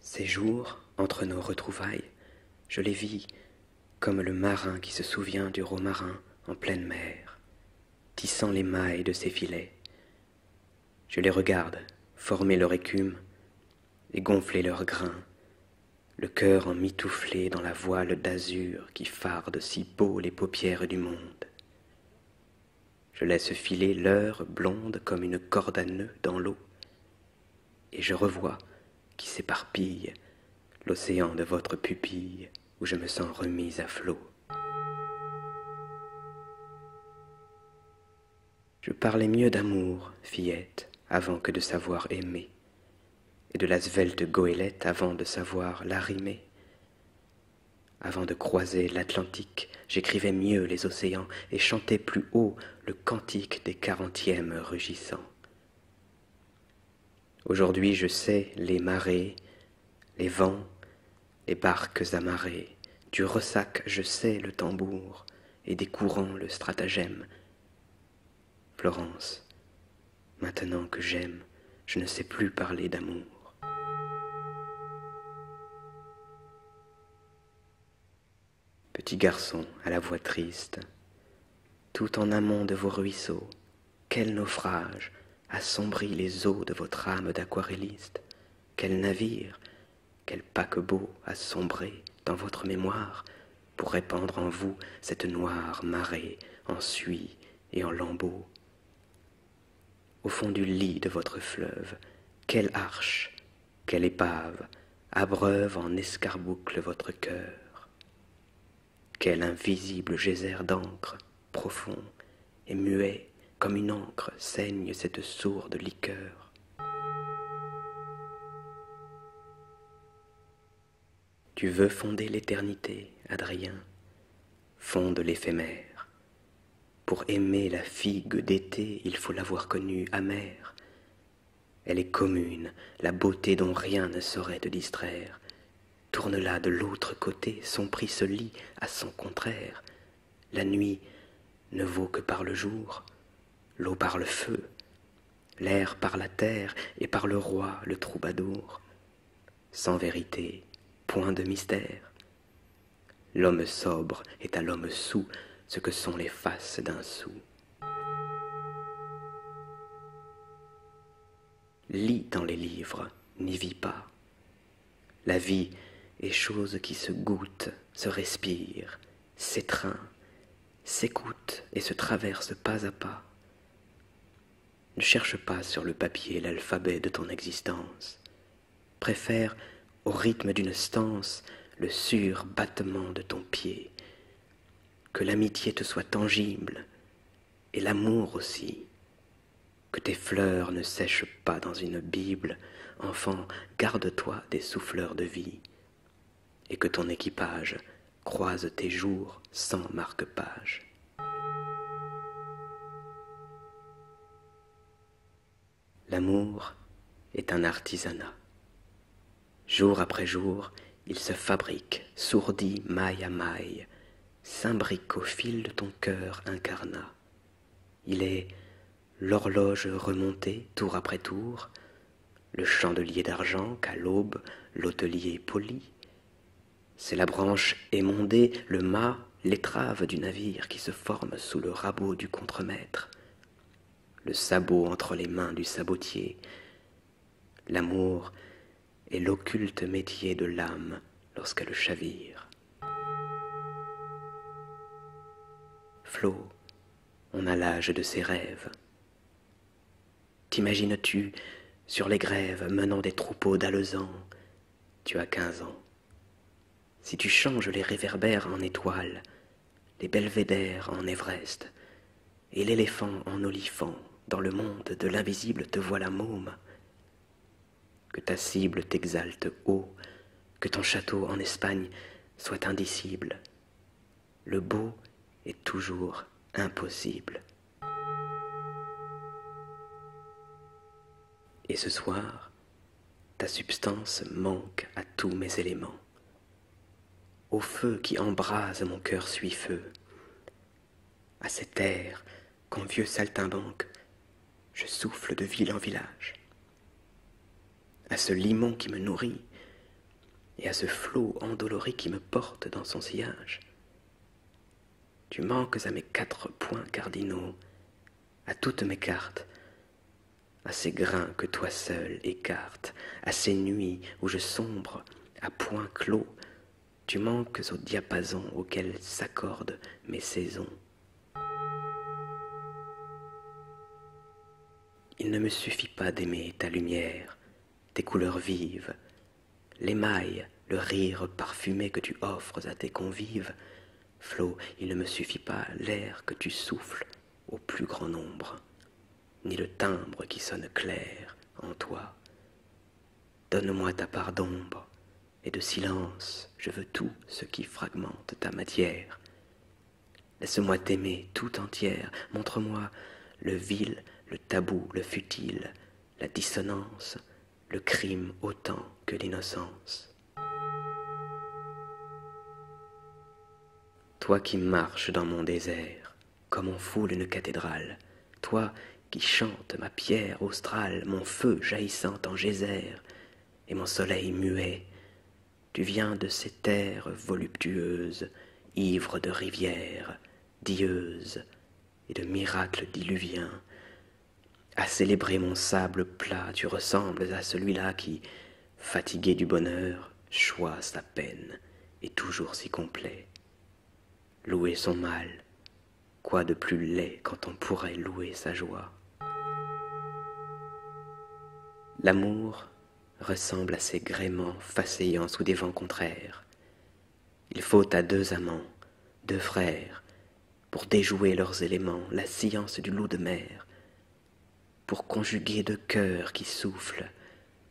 Ces jours, entre nos retrouvailles, je les vis comme le marin qui se souvient du romarin en pleine mer, tissant les mailles de ses filets. Je les regarde former leur écume et gonfler leurs grains, le cœur en emmitouflé dans la voile d'azur qui farde si beau les paupières du monde. Je laisse filer l'heure blonde comme une corde à nœuds dans l'eau, et je revois qui s'éparpille l'océan de votre pupille où je me sens remise à flot. Je parlais mieux d'amour, fillette, avant que de savoir aimer, et de la svelte goélette avant de savoir l'arrimer. Avant de croiser l'Atlantique, j'écrivais mieux les océans et chantais plus haut le cantique des quarantièmes rugissants. Aujourd'hui je sais les marées, les vents, les barques amarrées, du ressac je sais le tambour, et des courants le stratagème. Florence, maintenant que j'aime, je ne sais plus parler d'amour. Petit garçon à la voix triste, tout en amont de vos ruisseaux, quel naufrage assombrit les eaux de votre âme d'aquarelliste, quel navire, quel paquebot a sombré dans votre mémoire pour répandre en vous cette noire marée en suie et en lambeaux. Au fond du lit de votre fleuve, quelle arche, quelle épave abreuve en escarboucle votre cœur Quel invisible geyser d'encre, profond et muet comme une encre, saigne cette sourde liqueur Tu veux fonder l'éternité, Adrien, fonde l'éphémère, pour aimer la figue d'été, il faut l'avoir connue amère. Elle est commune, la beauté dont rien ne saurait te distraire. Tourne-la de l'autre côté, son prix se lit à son contraire. La nuit ne vaut que par le jour, l'eau par le feu, l'air par la terre et par le roi, le troubadour. Sans vérité, point de mystère, L'homme sobre est à l'homme sous ce que sont les faces d'un sou. Lis dans les livres, n'y vis pas. La vie est chose qui se goûte, se respire, s'étreint, s'écoute et se traverse pas à pas. Ne cherche pas sur le papier l'alphabet de ton existence préfère au rythme d'une stance le sûr battement de ton pied. Que l'amitié te soit tangible, et l'amour aussi. Que tes fleurs ne sèchent pas dans une Bible, enfant, garde-toi des souffleurs de vie, et que ton équipage croise tes jours sans marque-page. L'amour est un artisanat. Jour après jour, il se fabrique, sourdit maille à maille, s'imbrique au fil de ton cœur incarnat. Il est l'horloge remontée tour après tour, le chandelier d'argent qu'à l'aube l'hôtelier poli. C'est la branche émondée, le mât l'étrave du navire qui se forme sous le rabot du contremaître, le sabot entre les mains du sabotier. L'amour est l'occulte métier de l'âme lorsqu'elle chavire. Flo, on a l'âge de ses rêves. T'imagines-tu sur les grèves menant des troupeaux d'alezans Tu as quinze ans. Si tu changes les réverbères en étoiles, les belvédères en Everest, et l'éléphant en olifant, dans le monde de l'invisible te voilà môme, que ta cible t'exalte haut, que ton château en Espagne soit indicible. Le beau est toujours impossible. Et ce soir, ta substance manque à tous mes éléments. Au feu qui embrase mon cœur suis feu, à cet air qu'en vieux saltimbanque je souffle de ville en village, à ce limon qui me nourrit et à ce flot endolori qui me porte dans son sillage. Tu manques à mes quatre points cardinaux, à toutes mes cartes, à ces grains que toi seul écartes, à ces nuits où je sombre, à points clos, tu manques au diapason auquel s'accordent mes saisons. Il ne me suffit pas d'aimer ta lumière, tes couleurs vives, l'émail, le rire parfumé que tu offres à tes convives, Flot, il ne me suffit pas l'air que tu souffles au plus grand nombre, ni le timbre qui sonne clair en toi. Donne-moi ta part d'ombre et de silence, je veux tout ce qui fragmente ta matière. Laisse-moi t'aimer tout entière, montre-moi le vil, le tabou, le futile, la dissonance, le crime autant que l'innocence. Toi qui marches dans mon désert, comme on foule une cathédrale, toi qui chantes ma pierre australe, mon feu jaillissant en geyser, et mon soleil muet, tu viens de ces terres voluptueuses, ivres de rivières, dieuses, et de miracles diluviens, à célébrer mon sable plat, tu ressembles à celui-là qui, fatigué du bonheur, choisit sa peine, et toujours si complet. Louer son mal, quoi de plus laid quand on pourrait louer sa joie L'amour ressemble à ces gréments faceillants sous des vents contraires. Il faut à deux amants, deux frères, pour déjouer leurs éléments, la science du loup de mer, pour conjuguer de cœurs qui soufflent,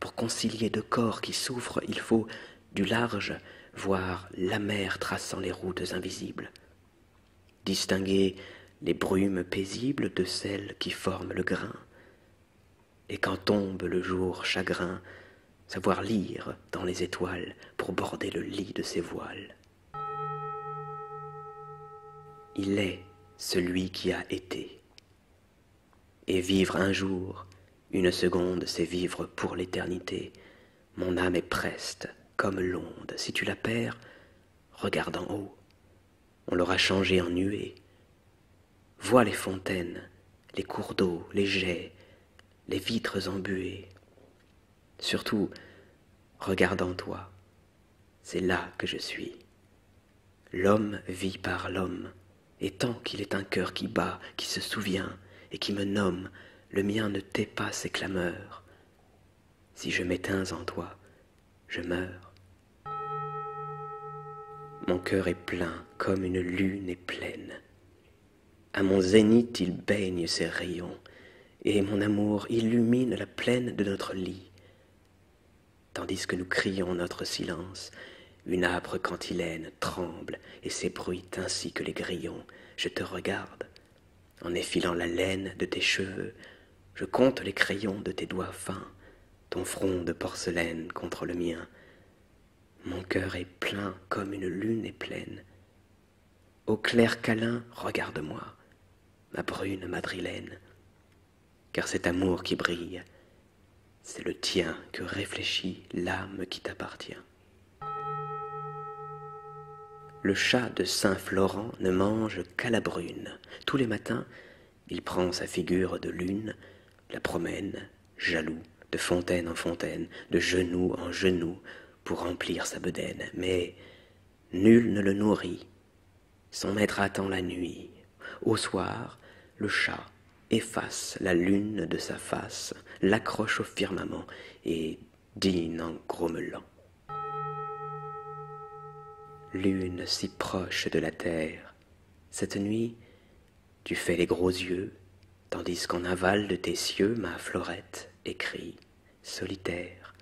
pour concilier de corps qui souffrent, il faut, du large, voir la mer traçant les routes invisibles, distinguer les brumes paisibles de celles qui forment le grain, et quand tombe le jour chagrin, savoir lire dans les étoiles pour border le lit de ses voiles. Il est celui qui a été. Et vivre un jour, une seconde, c'est vivre pour l'éternité. Mon âme est preste, comme l'onde. Si tu la perds, regarde en haut. On l'aura changée en nuée. Vois les fontaines, les cours d'eau, les jets, les vitres embuées. Surtout, regarde en toi, c'est là que je suis. L'homme vit par l'homme, et tant qu'il est un cœur qui bat, qui se souvient, et qui me nomme, le mien ne tait pas ses clameurs. Si je m'éteins en toi, je meurs. Mon cœur est plein comme une lune est pleine. À mon zénith, il baigne ses rayons, et mon amour illumine la plaine de notre lit. Tandis que nous crions notre silence, une âpre cantilène tremble et s'ébruite ainsi que les grillons. Je te regarde, en effilant la laine de tes cheveux, je compte les crayons de tes doigts fins, ton front de porcelaine contre le mien. Mon cœur est plein comme une lune est pleine, au clair câlin, regarde-moi, ma brune madrilène, car cet amour qui brille, c'est le tien que réfléchit l'âme qui t'appartient. Le chat de Saint Florent ne mange qu'à la brune. Tous les matins, il prend sa figure de lune, la promène, jaloux, de fontaine en fontaine, de genoux en genoux, pour remplir sa bedaine. Mais Nul ne le nourrit. Son maître attend la nuit. Au soir, le chat efface la lune de sa face, l'accroche au firmament et dîne en grommelant. Lune si proche de la terre, cette nuit, tu fais les gros yeux, tandis qu'en aval de tes cieux ma florette écrit solitaire.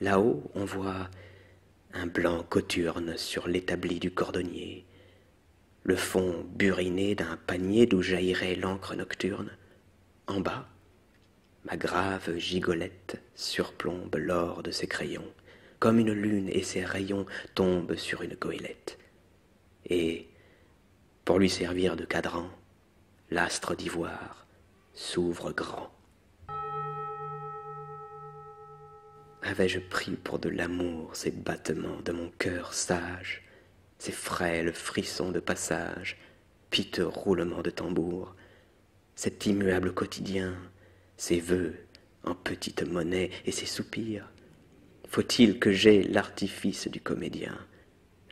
Là-haut, on voit un blanc coturne sur l'établi du cordonnier, le fond buriné d'un panier d'où jaillirait l'encre nocturne. En bas, ma grave gigolette surplombe l'or de ses crayons, comme une lune et ses rayons tombent sur une goélette. Et, pour lui servir de cadran, l'astre d'ivoire s'ouvre grand. Avais-je pris pour de l'amour ces battements de mon cœur sage, ces frêles frissons de passage, piteux roulements de tambour, cet immuable quotidien, ces vœux en petite monnaie et ses soupirs Faut-il que j'aie l'artifice du comédien,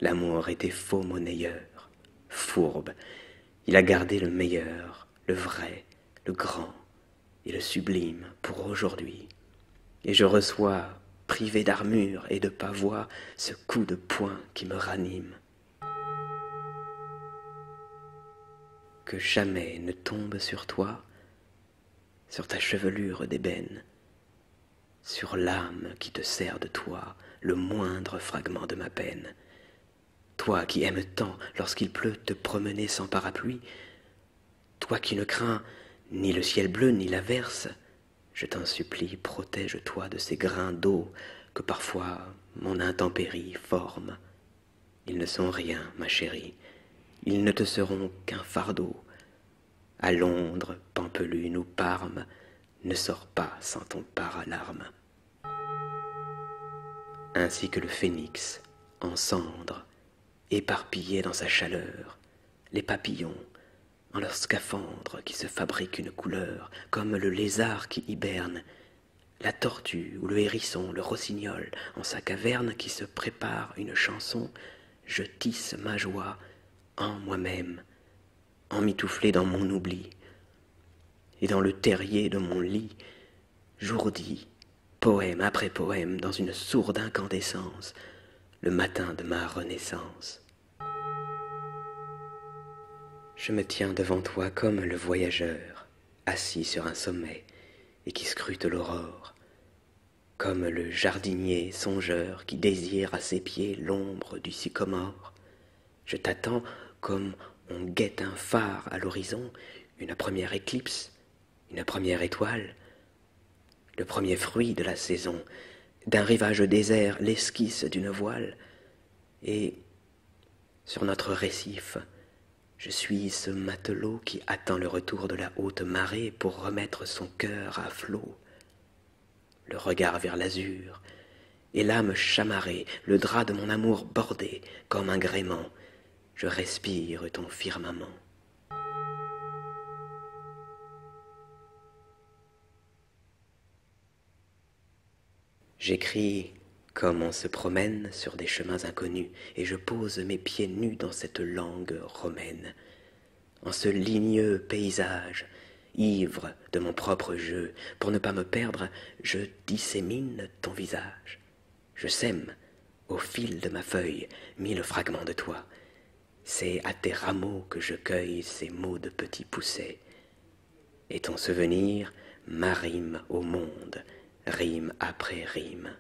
L'amour était faux monnayeur, fourbe. Il a gardé le meilleur, le vrai, le grand et le sublime pour aujourd'hui. Et je reçois, privé d'armure et de pavois, ce coup de poing qui me ranime. Que jamais ne tombe sur toi, sur ta chevelure d'ébène, sur l'âme qui te sert de toi le moindre fragment de ma peine. Toi qui aimes tant, lorsqu'il pleut, te promener sans parapluie, toi qui ne crains ni le ciel bleu ni l'averse, je t'en supplie, protège-toi de ces grains d'eau que parfois mon intempérie forme. Ils ne sont rien, ma chérie, ils ne te seront qu'un fardeau. À Londres, Pampelune ou Parme, ne sors pas sans ton paralarme. Ainsi que le phénix, en cendre, Éparpillé dans sa chaleur, les papillons, en leur scaphandre qui se fabriquent une couleur, comme le lézard qui hiberne, la tortue ou le hérisson, le rossignol, en sa caverne qui se prépare une chanson, je tisse ma joie en moi-même, emmitouflé dans mon oubli, et dans le terrier de mon lit, j'ourdis, poème après poème, dans une sourde incandescence, le matin de ma renaissance. Je me tiens devant toi comme le voyageur, assis sur un sommet, et qui scrute l'aurore, comme le jardinier songeur qui désire à ses pieds l'ombre du sycomore, je t'attends comme on guette un phare à l'horizon, une première éclipse, une première étoile, le premier fruit de la saison, d'un rivage désert l'esquisse d'une voile, et sur notre récif, je suis ce matelot qui attend le retour de la haute marée pour remettre son cœur à flot le regard vers l'azur, et l'âme chamarrée, le drap de mon amour bordé, comme un gréement, je respire ton firmament. J'écris comme on se promène sur des chemins inconnus, et je pose mes pieds nus dans cette langue romaine, en ce ligneux paysage ivre de mon propre jeu, pour ne pas me perdre, je dissémine ton visage. Je sème, au fil de ma feuille, mille fragments de toi. C'est à tes rameaux que je cueille ces mots de petits poussets. Et ton souvenir m'arrime au monde, rime après rime.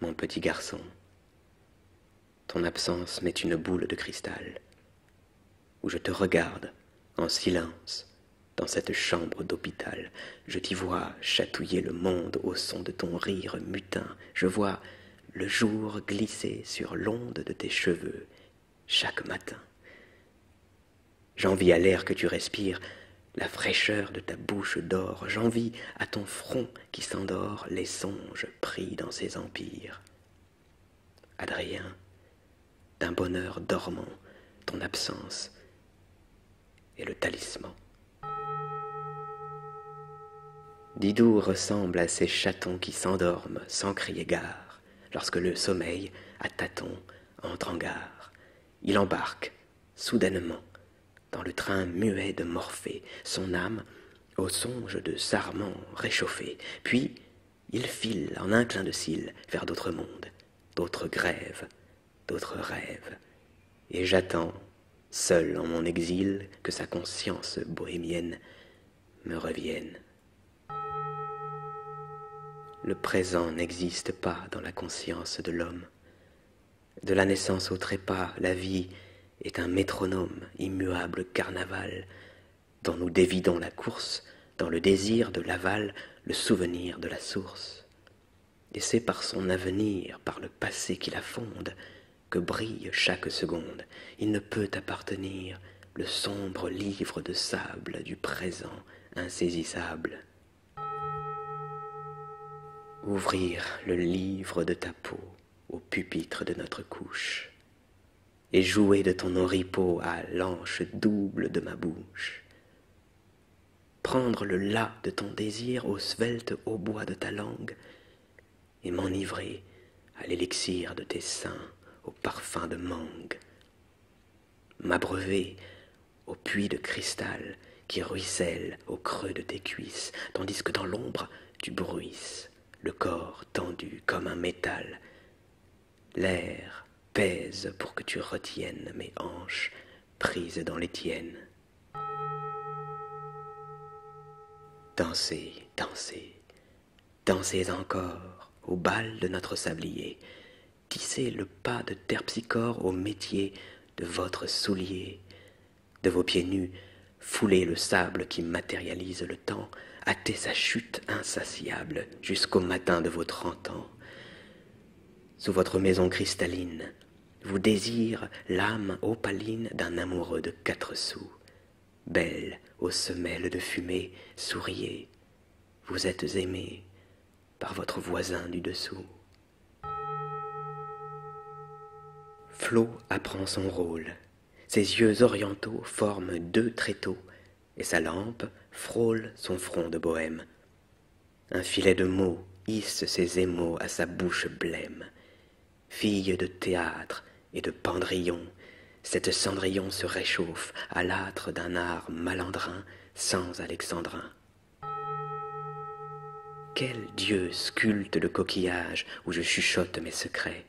Mon petit garçon, ton absence m'est une boule de cristal, où je te regarde en silence dans cette chambre d'hôpital. Je t'y vois chatouiller le monde au son de ton rire mutin. Je vois le jour glisser sur l'onde de tes cheveux chaque matin. J'envie à l'air que tu respires la fraîcheur de ta bouche d'or. J'envie à ton front qui s'endort les songes pris dans ses empires. Adrien, d'un bonheur dormant, ton absence est le talisman. Didou ressemble à ces chatons qui s'endorment sans crier gare, lorsque le sommeil, à tâtons, entre en gare. Il embarque, soudainement, dans le train muet de Morphée, son âme, au songe de sarment réchauffé, Puis il file en un clin de cils vers d'autres mondes, d'autres grèves, d'autres rêves. Et j'attends, seul en mon exil, que sa conscience bohémienne me revienne. Le présent n'existe pas dans la conscience de l'homme. De la naissance au trépas, la vie est un métronome, immuable carnaval, dont nous dévidons la course, dans le désir de l'aval, le souvenir de la source. Et c'est par son avenir, par le passé qui la fonde, que brille chaque seconde. Il ne peut appartenir le sombre livre de sable du présent insaisissable. Ouvrir le livre de ta peau au pupitre de notre couche, et jouer de ton oripeau à l'anche double de ma bouche, prendre le la de ton désir au svelte bois de ta langue, et m'enivrer à l'élixir de tes seins au parfum de mangue, m'abreuver au puits de cristal qui ruisselle au creux de tes cuisses, tandis que dans l'ombre tu bruisses, le corps tendu comme un métal. L'air pèse pour que tu retiennes mes hanches prises dans les tiennes. Dansez, dansez, dansez encore au bal de notre sablier. Tissez le pas de terpsichore au métier de votre soulier. De vos pieds nus, foulez le sable qui matérialise le temps, hâtez sa chute insatiable jusqu'au matin de vos trente ans. Sous votre maison cristalline, vous désire l'âme opaline d'un amoureux de quatre sous. Belle aux semelles de fumée, souriez, vous êtes aimée par votre voisin du dessous. Flo apprend son rôle. Ses yeux orientaux forment deux tréteaux, et sa lampe frôle son front de bohème. Un filet de mots hisse ses émaux à sa bouche blême. Fille de théâtre et de pendrillon, cette cendrillon se réchauffe à l'âtre d'un art malandrin sans alexandrin. Quel dieu sculpte le coquillage où je chuchote mes secrets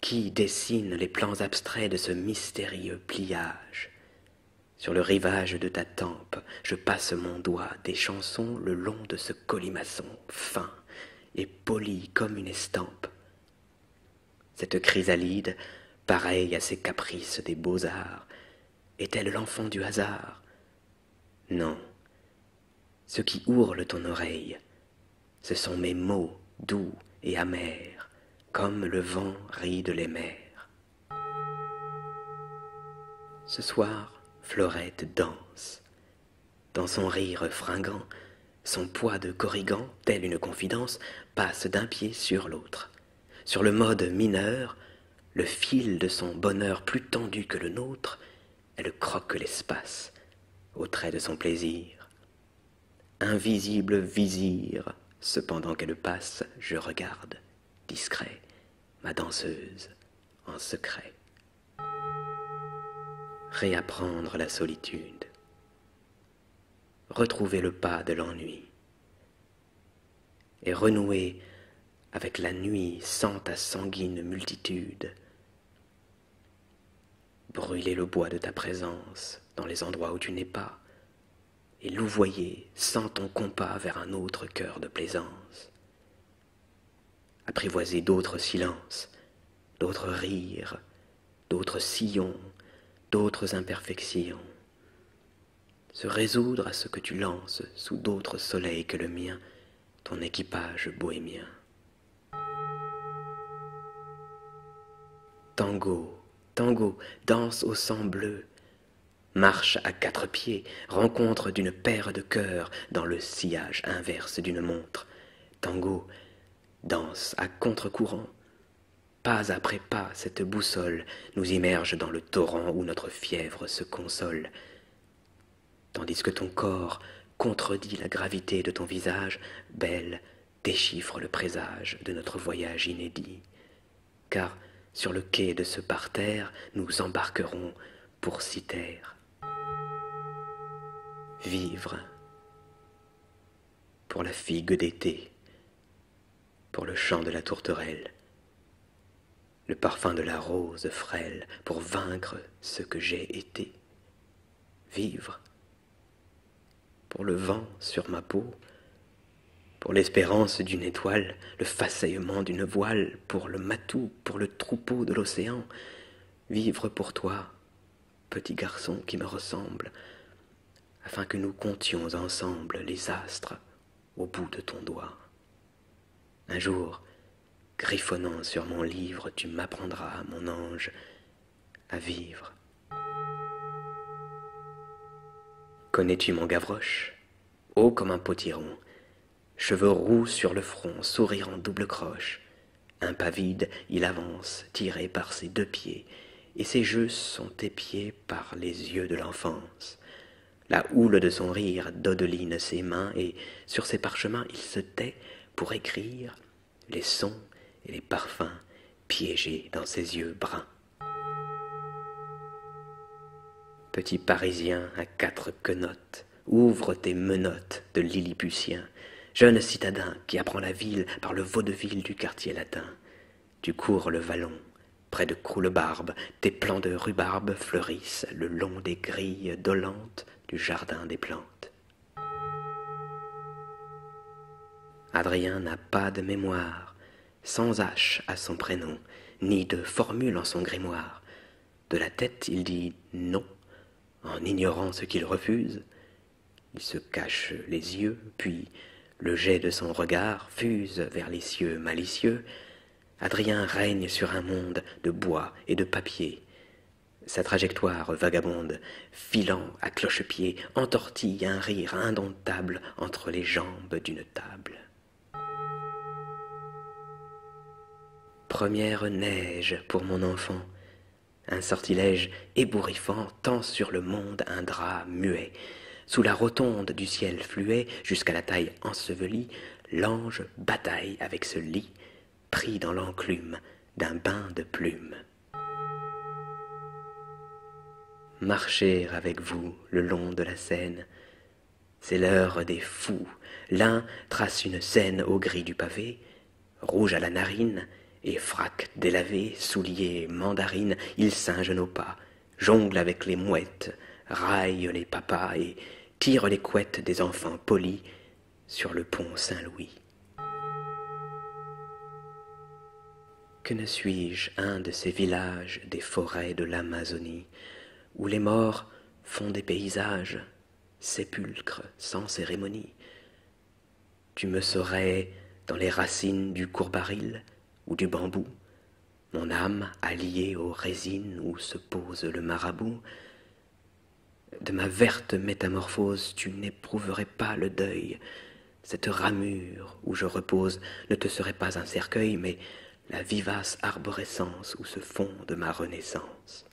Qui dessine les plans abstraits de ce mystérieux pliage Sur le rivage de ta tempe, je passe mon doigt des chansons le long de ce colimaçon fin et poli comme une estampe. Cette chrysalide, pareille à ces caprices des beaux-arts, est-elle l'enfant du hasard non. Ce qui ourle ton oreille, ce sont mes mots doux et amers, comme le vent ride les mers. Ce soir, Florette danse. Dans son rire fringant, son poids de corrigan, telle une confidence, passe d'un pied sur l'autre. Sur le mode mineur, le fil de son bonheur plus tendu que le nôtre elle croque l'espace au trait de son plaisir. Invisible vizir, cependant qu'elle passe, je regarde, discret, ma danseuse, en secret. Réapprendre la solitude. Retrouver le pas de l'ennui. Et renouer avec la nuit sans ta sanguine multitude Brûler le bois de ta présence dans les endroits où tu n'es pas, et louvoyer sans ton compas vers un autre cœur de plaisance. Apprivoiser d'autres silences, d'autres rires, d'autres sillons, d'autres imperfections. Se résoudre à ce que tu lances sous d'autres soleils que le mien, ton équipage bohémien. Tango, tango, danse au sang bleu, marche à quatre pieds, rencontre d'une paire de cœurs dans le sillage inverse d'une montre. Tango, danse à contre-courant, pas après pas cette boussole nous immerge dans le torrent où notre fièvre se console tandis que ton corps contredit la gravité de ton visage, Belle déchiffre le présage de notre voyage inédit. Car sur le quai de ce parterre, nous embarquerons pour Citerre. Vivre pour la figue d'été, pour le chant de la tourterelle, le parfum de la rose frêle, pour vaincre ce que j'ai été vivre, pour le vent sur ma peau, pour l'espérance d'une étoile, le façaillement d'une voile, pour le matou, pour le troupeau de l'océan, vivre pour toi, petit garçon qui me ressemble, afin que nous comptions ensemble les astres au bout de ton doigt. Un jour, griffonnant sur mon livre, tu m'apprendras, mon ange, à vivre. Connais-tu mon Gavroche Haut comme un potiron, cheveux roux sur le front, sourire en double croche. Un vide, il avance, tiré par ses deux pieds, et ses jeux sont épiés par les yeux de l'enfance. La houle de son rire dodeline ses mains, et sur ses parchemins il se tait, pour écrire les sons et les parfums piégés dans ses yeux bruns. Petit Parisien à quatre quenottes, ouvre tes menottes de Lilliputien, jeune citadin qui apprend la ville par le vaudeville du quartier latin. Tu cours le vallon, près de Croulebarbe, tes plants de rhubarbe fleurissent le long des grilles dolentes du jardin des plantes. Adrien n'a pas de mémoire, sans hache à son prénom, ni de formule en son grimoire. De la tête, il dit non, en ignorant ce qu'il refuse. Il se cache les yeux, puis le jet de son regard fuse vers les cieux malicieux. Adrien règne sur un monde de bois et de papier, sa trajectoire vagabonde, filant à cloche-pied, entortille un rire indomptable entre les jambes d'une table. Première neige pour mon enfant, un sortilège ébouriffant tend sur le monde un drap muet. Sous la rotonde du ciel fluet, jusqu'à la taille ensevelie, l'ange bataille avec ce lit pris dans l'enclume d'un bain de plumes. Marcher avec vous le long de la scène. c'est l'heure des fous. L'un trace une scène au gris du pavé, rouge à la narine, et frac délavé, souliers, mandarine, il singe nos pas, jongle avec les mouettes, raille les papas et tire les couettes des enfants polis sur le pont Saint-Louis. Que ne suis-je un de ces villages des forêts de l'Amazonie, où les morts font des paysages, sépulcres sans cérémonie Tu me serais dans les racines du courbaril ou du bambou, mon âme alliée aux résines où se pose le marabout, de ma verte métamorphose, tu n'éprouverais pas le deuil. Cette ramure où je repose ne te serait pas un cercueil, mais la vivace arborescence où se de ma renaissance.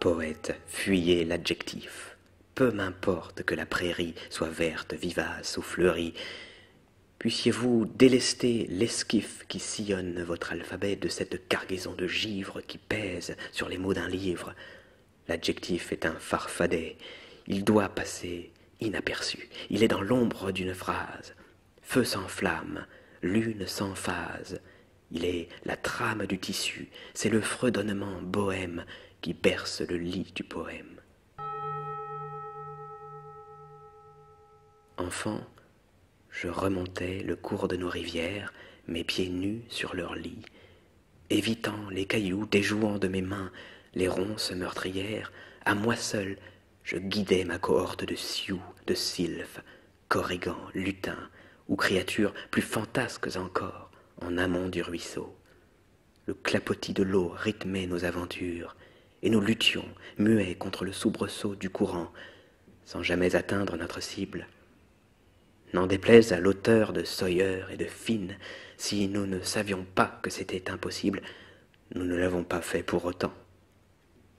Poète, fuyez l'adjectif. Peu m'importe que la prairie soit verte, vivace ou fleurie. Puissiez-vous délester l'esquif qui sillonne votre alphabet de cette cargaison de givre qui pèse sur les mots d'un livre. L'adjectif est un farfadet. Il doit passer inaperçu. Il est dans l'ombre d'une phrase. Feu sans flamme, lune sans phase. Il est la trame du tissu, c'est le fredonnement bohème qui berce le lit du poème. Enfant, je remontai le cours de nos rivières, mes pieds nus sur leurs lits. évitant les cailloux, déjouant de mes mains les ronces meurtrières, à moi seul, je guidais ma cohorte de sioux, de sylphes, corrigans, lutins, ou créatures plus fantasques encore, en amont du ruisseau. Le clapotis de l'eau rythmait nos aventures, et nous luttions, muets contre le soubresaut du courant, sans jamais atteindre notre cible. N'en déplaise à l'auteur de Sawyer et de Finn, si nous ne savions pas que c'était impossible, nous ne l'avons pas fait pour autant.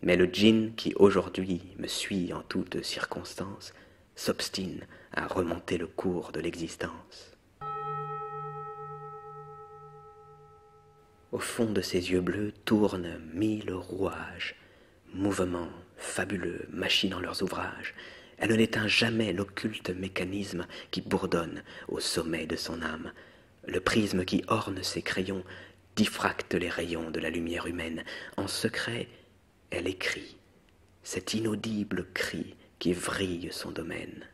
Mais le djinn qui aujourd'hui me suit en toutes circonstances s'obstine à remonter le cours de l'existence. Au fond de ses yeux bleus tournent mille rouages, mouvements, fabuleux, machinant leurs ouvrages, elle ne n'éteint jamais l'occulte mécanisme qui bourdonne au sommet de son âme. Le prisme qui orne ses crayons diffracte les rayons de la lumière humaine. En secret, elle écrit cet inaudible cri qui vrille son domaine.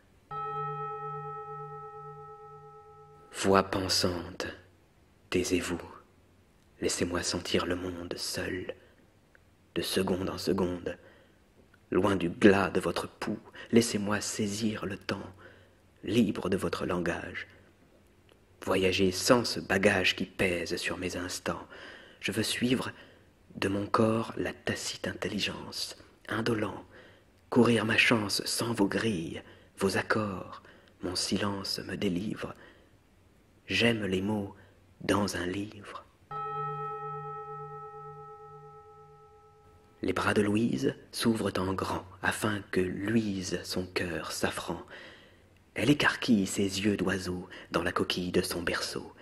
Voix pensante, taisez-vous, Laissez-moi sentir le monde seul, de seconde en seconde, loin du glas de votre pouls. Laissez-moi saisir le temps, libre de votre langage. Voyager sans ce bagage qui pèse sur mes instants. Je veux suivre de mon corps la tacite intelligence, indolent, courir ma chance sans vos grilles vos accords, mon silence me délivre. J'aime les mots dans un livre. Les bras de Louise s'ouvrent en grand afin que luise son cœur safran. Elle écarquille ses yeux d'oiseau dans la coquille de son berceau.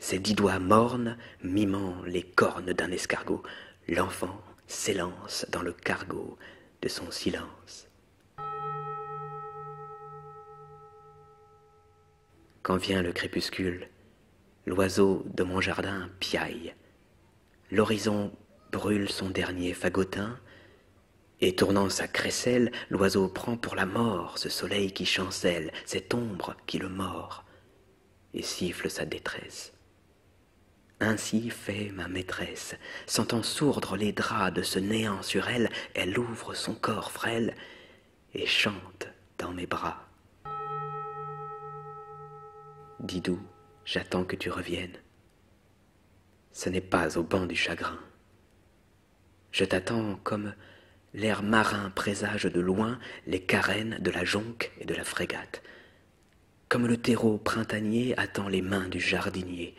Ses dix doigts mornes, mimant les cornes d'un escargot, l'enfant s'élance dans le cargo de son silence. Quand vient le crépuscule, l'oiseau de mon jardin piaille. L'horizon brûle son dernier fagotin, et tournant sa crécelle, l'oiseau prend pour la mort ce soleil qui chancelle, cette ombre qui le mord, et siffle sa détresse. Ainsi fait ma maîtresse. Sentant sourdre les draps de ce néant sur elle, elle ouvre son corps frêle et chante dans mes bras. Didou, j'attends que tu reviennes. Ce n'est pas au banc du chagrin. Je t'attends comme l'air marin présage de loin les carènes de la jonque et de la frégate, comme le terreau printanier attend les mains du jardinier,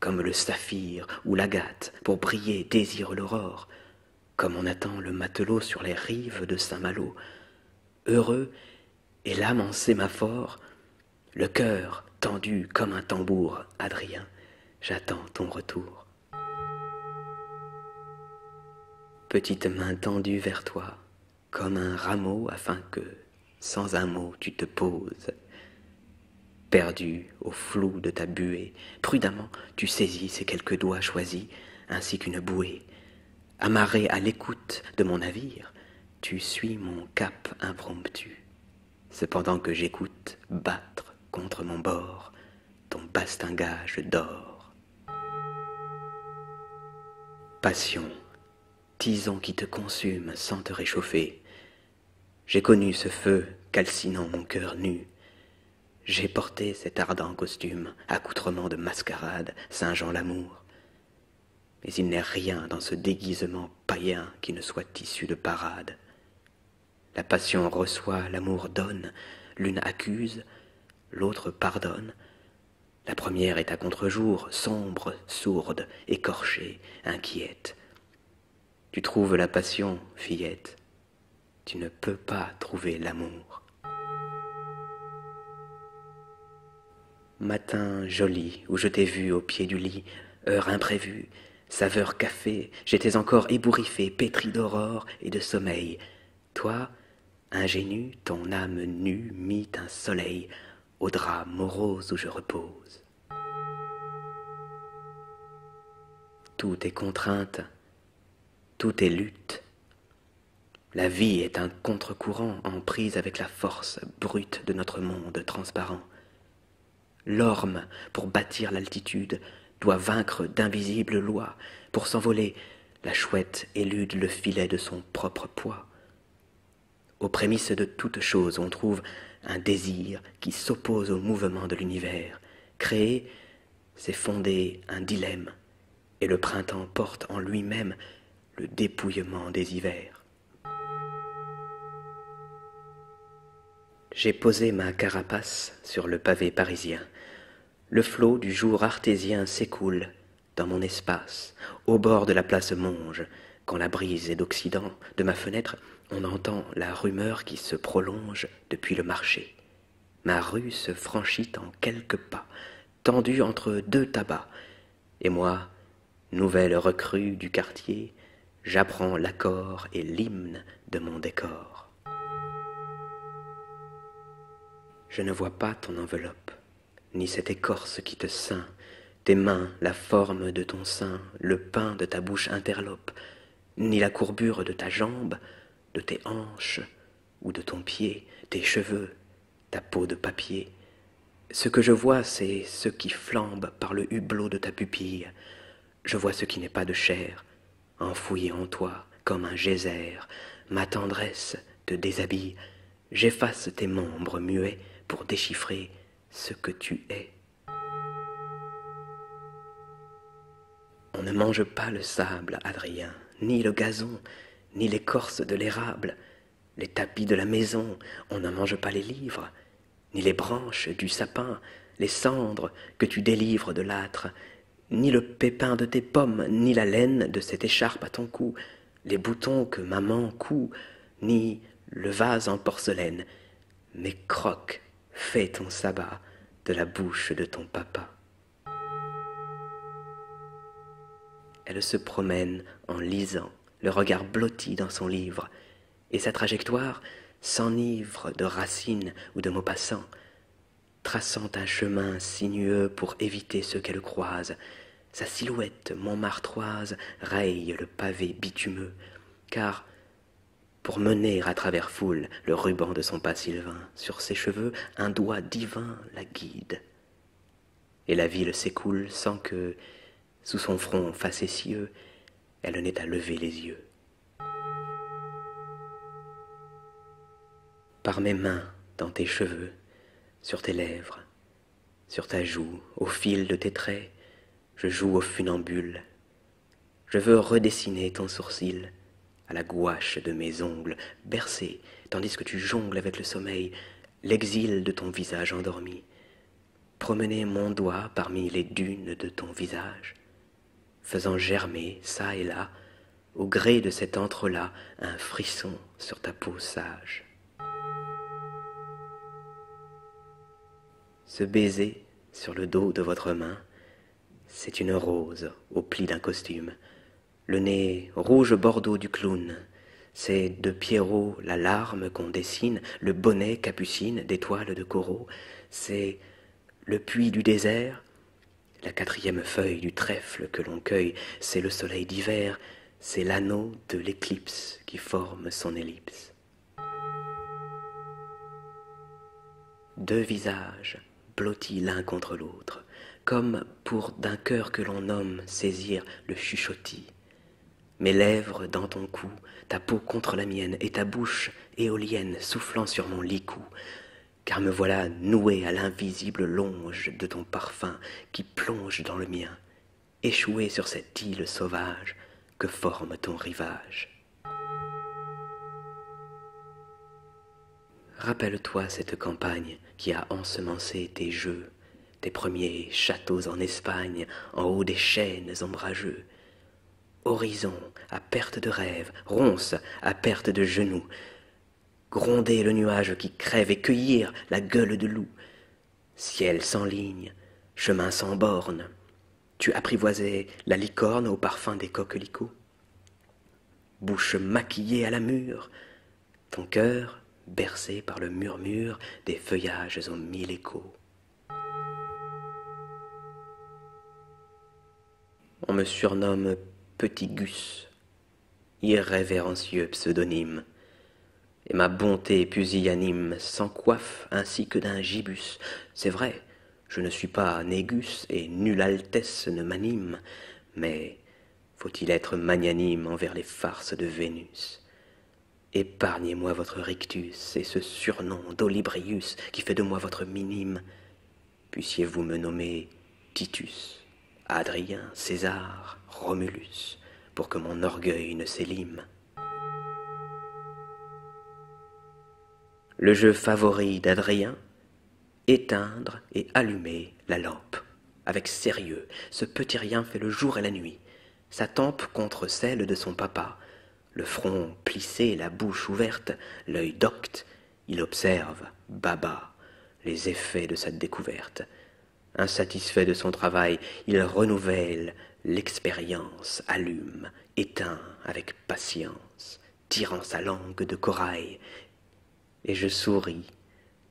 comme le saphir ou l'agate, pour briller, désire l'aurore, comme on attend le matelot sur les rives de Saint-Malo. Heureux et l'âme en sémaphore, le cœur tendu comme un tambour, Adrien, j'attends ton retour. Petite main tendue vers toi, comme un rameau afin que, sans un mot, tu te poses. Perdu au flou de ta buée, prudemment, tu saisis ces quelques doigts choisis, ainsi qu'une bouée. Amarré à l'écoute de mon navire, tu suis mon cap impromptu. Cependant que j'écoute battre contre mon bord ton bastingage d'or. Passion, tison qui te consume sans te réchauffer, j'ai connu ce feu calcinant mon cœur nu. J'ai porté cet ardent costume, accoutrement de mascarade, singeant l'amour. Mais il n'est rien dans ce déguisement païen qui ne soit issu de parade. La passion reçoit, l'amour donne, l'une accuse, l'autre pardonne. La première est à contre-jour, sombre, sourde, écorchée, inquiète, tu trouves la passion, fillette. Tu ne peux pas trouver l'amour. Matin joli où je t'ai vue au pied du lit, heure imprévue, saveur café, j'étais encore ébouriffée, pétrie d'aurore et de sommeil. Toi, ingénu, ton âme nue mit un soleil au drap morose où je repose. Tout est contrainte, tout est lutte. La vie est un contre-courant en avec la force brute de notre monde transparent. L'orme, pour bâtir l'altitude, doit vaincre d'invisibles lois. Pour s'envoler, la chouette élude le filet de son propre poids. Aux prémices de toutes choses, on trouve un désir qui s'oppose au mouvement de l'univers. Créer, c'est fonder un dilemme, et le printemps porte en lui-même le dépouillement des hivers. J'ai posé ma carapace sur le pavé parisien. Le flot du jour artésien s'écoule dans mon espace, au bord de la place Monge. Quand la brise est d'Occident, de ma fenêtre, on entend la rumeur qui se prolonge depuis le marché. Ma rue se franchit en quelques pas, tendue entre deux tabacs, et moi, nouvelle recrue du quartier, j'apprends l'accord et l'hymne de mon décor. Je ne vois pas ton enveloppe, ni cette écorce qui te ceint, tes mains, la forme de ton sein, le pain de ta bouche interlope, ni la courbure de ta jambe, de tes hanches ou de ton pied, tes cheveux, ta peau de papier. Ce que je vois, c'est ce qui flambe par le hublot de ta pupille. Je vois ce qui n'est pas de chair, enfouillé en toi comme un geyser. Ma tendresse te déshabille. J'efface tes membres muets pour déchiffrer ce que tu es. On ne mange pas le sable, Adrien, ni le gazon, ni l'écorce de l'érable, les tapis de la maison, on ne mange pas les livres, ni les branches du sapin, les cendres que tu délivres de l'âtre, ni le pépin de tes pommes, ni la laine de cette écharpe à ton cou, les boutons que maman coud, ni le vase en porcelaine, mais croque, fais ton sabbat de la bouche de ton papa. Elle se promène en lisant, le regard blotti dans son livre, et sa trajectoire s'enivre de racines ou de mots passants, traçant un chemin sinueux pour éviter ceux qu'elle croise. Sa silhouette montmartroise raye le pavé bitumeux, car, pour mener à travers foule le ruban de son pas sylvain, sur ses cheveux un doigt divin la guide. Et la ville s'écoule sans que, sous son front facétieux, elle n'ait à lever les yeux. Par mes mains, dans tes cheveux, sur tes lèvres, sur ta joue, au fil de tes traits, je joue au funambule. Je veux redessiner ton sourcil à la gouache de mes ongles, bercer, tandis que tu jongles avec le sommeil, l'exil de ton visage endormi. Promener mon doigt parmi les dunes de ton visage, faisant germer, ça et là, au gré de cet entre là, un frisson sur ta peau sage. Ce baiser sur le dos de votre main, c'est une rose au pli d'un costume. Le nez rouge bordeaux du clown, c'est de Pierrot la larme qu'on dessine, le bonnet capucine d'étoiles de coraux, c'est le puits du désert, la quatrième feuille du trèfle que l'on cueille, c'est le soleil d'hiver, c'est l'anneau de l'éclipse qui forme son ellipse. Deux visages, blottis l'un contre l'autre, comme pour d'un cœur que l'on nomme saisir le chuchotis. Mes lèvres dans ton cou, ta peau contre la mienne, et ta bouche éolienne soufflant sur mon licou, car me voilà noué à l'invisible longe de ton parfum qui plonge dans le mien échoué sur cette île sauvage que forme ton rivage. Rappelle-toi cette campagne qui a ensemencé tes jeux, tes premiers châteaux en Espagne, en haut des chênes ombrageux. Horizon à perte de rêve, ronces à perte de genoux, gronder le nuage qui crève et cueillir la gueule de loup, Ciel sans ligne, chemin sans bornes, tu apprivoisais la licorne au parfum des coquelicots. Bouche maquillée à la mûre, ton cœur bercé par le murmure des feuillages aux mille échos. On me surnomme Petit Gus, irrévérencieux pseudonyme et ma bonté pusillanime coiffe, ainsi que d'un gibus. C'est vrai, je ne suis pas négus et nulle altesse ne m'anime, mais faut-il être magnanime envers les farces de Vénus Épargnez-moi votre rictus et ce surnom d'Olibrius qui fait de moi votre minime. Puissiez-vous me nommer Titus, Adrien, César, Romulus, pour que mon orgueil ne s'élime. Le jeu favori d'Adrien, éteindre et allumer la lampe. Avec sérieux, ce petit rien fait le jour et la nuit, sa tempe contre celle de son papa, le front plissé, la bouche ouverte, l'œil docte, il observe, baba, les effets de sa découverte. Insatisfait de son travail, il renouvelle l'expérience allume, éteint avec patience, tirant sa langue de corail, et je souris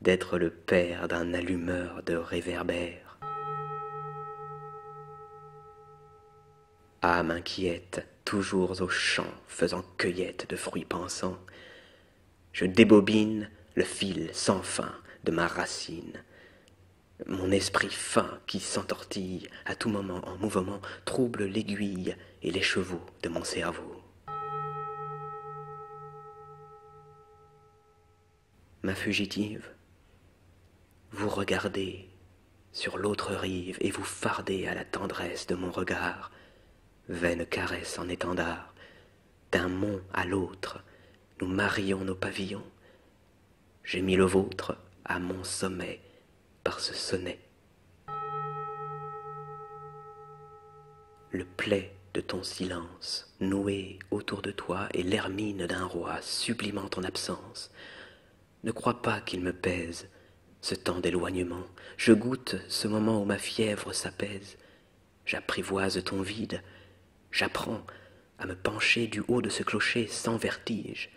d'être le père d'un allumeur de réverbères. Âme inquiète, toujours au champ, faisant cueillette de fruits pensants, je débobine le fil sans fin de ma racine, mon esprit fin qui s'entortille à tout moment en mouvement trouble l'aiguille et les chevaux de mon cerveau. Ma fugitive, vous regardez sur l'autre rive et vous fardez à la tendresse de mon regard, vaine caresse en étendard, d'un mont à l'autre, nous marions nos pavillons, j'ai mis le vôtre à mon sommet par ce sonnet. Le plaid de ton silence, noué autour de toi, est l'hermine d'un roi sublimant ton absence. Ne crois pas qu'il me pèse ce temps d'éloignement. Je goûte ce moment où ma fièvre s'apaise. J'apprivoise ton vide, J'apprends à me pencher du haut de ce clocher sans vertige,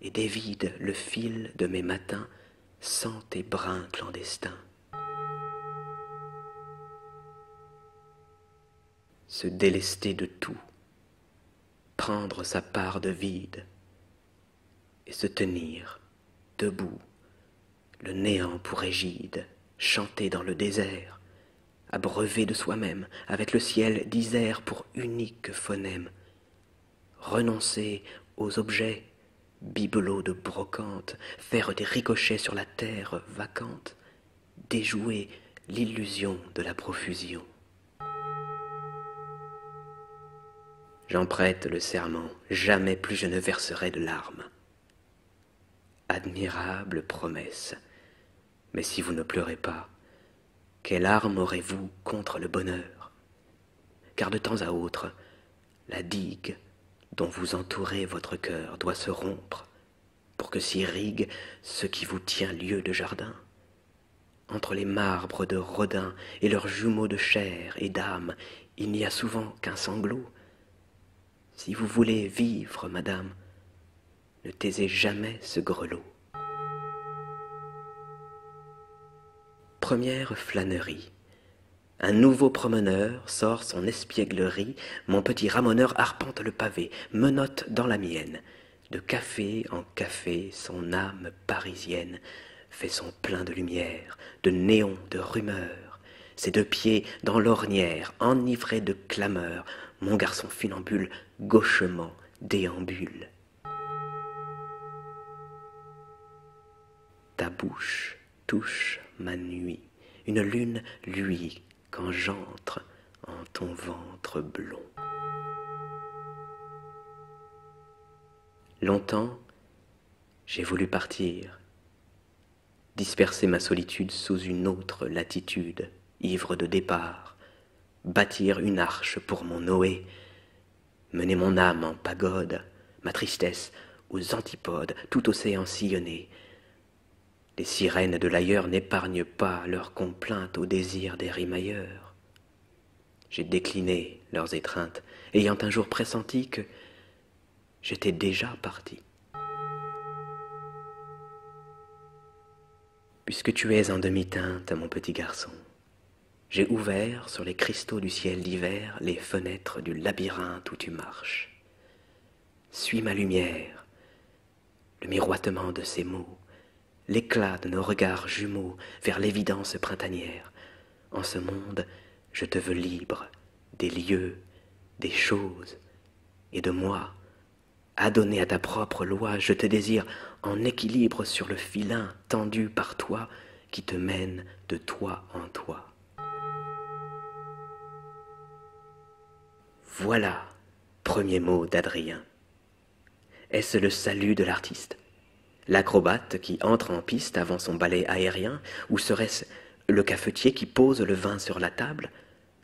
et dévide le fil de mes matins sans tes brins clandestins. Se délester de tout, prendre sa part de vide, et se tenir debout, le néant pour égide, chanter dans le désert, abreuvé de soi-même, avec le ciel d'Isère pour unique phonème, renoncer aux objets, bibelots de brocante, faire des ricochets sur la terre vacante, déjouer l'illusion de la profusion. J'en prête le serment, jamais plus je ne verserai de larmes. Admirable promesse, mais si vous ne pleurez pas, quelle arme aurez-vous contre le bonheur Car de temps à autre, la digue dont vous entourez votre cœur doit se rompre pour que s'irrigue ce qui vous tient lieu de jardin. Entre les marbres de Rodin et leurs jumeaux de chair et d'âme, il n'y a souvent qu'un sanglot. Si vous voulez vivre, madame, ne taisez jamais ce grelot. Première flânerie. Un nouveau promeneur sort son espièglerie, mon petit ramoneur arpente le pavé, menotte dans la mienne. De café en café, son âme parisienne fait son plein de lumière, de néons, de rumeurs. Ses deux pieds dans l'ornière, enivrés de clameurs, mon garçon funambule gauchement déambule. Ta bouche touche ma nuit, une lune luit quand j'entre en ton ventre blond. Longtemps, j'ai voulu partir, disperser ma solitude sous une autre latitude, ivre de départ, bâtir une arche pour mon Noé, mener mon âme en pagode, ma tristesse aux antipodes, tout océan sillonné. Les sirènes de l'ailleurs n'épargnent pas leurs complaintes au désir des rimailleurs. J'ai décliné leurs étreintes, ayant un jour pressenti que j'étais déjà parti. Puisque tu es en demi-teinte, mon petit garçon, j'ai ouvert sur les cristaux du ciel d'hiver les fenêtres du labyrinthe où tu marches. Suis ma lumière, le miroitement de ces mots, l'éclat de nos regards jumeaux vers l'évidence printanière. En ce monde, je te veux libre des lieux, des choses, et de moi, Adonné à ta propre loi, je te désire en équilibre sur le filin tendu par toi qui te mène de toi en toi. Voilà, premier mot d'Adrien. Est-ce le salut de l'artiste L'acrobate qui entre en piste avant son balai aérien Ou serait-ce le cafetier qui pose le vin sur la table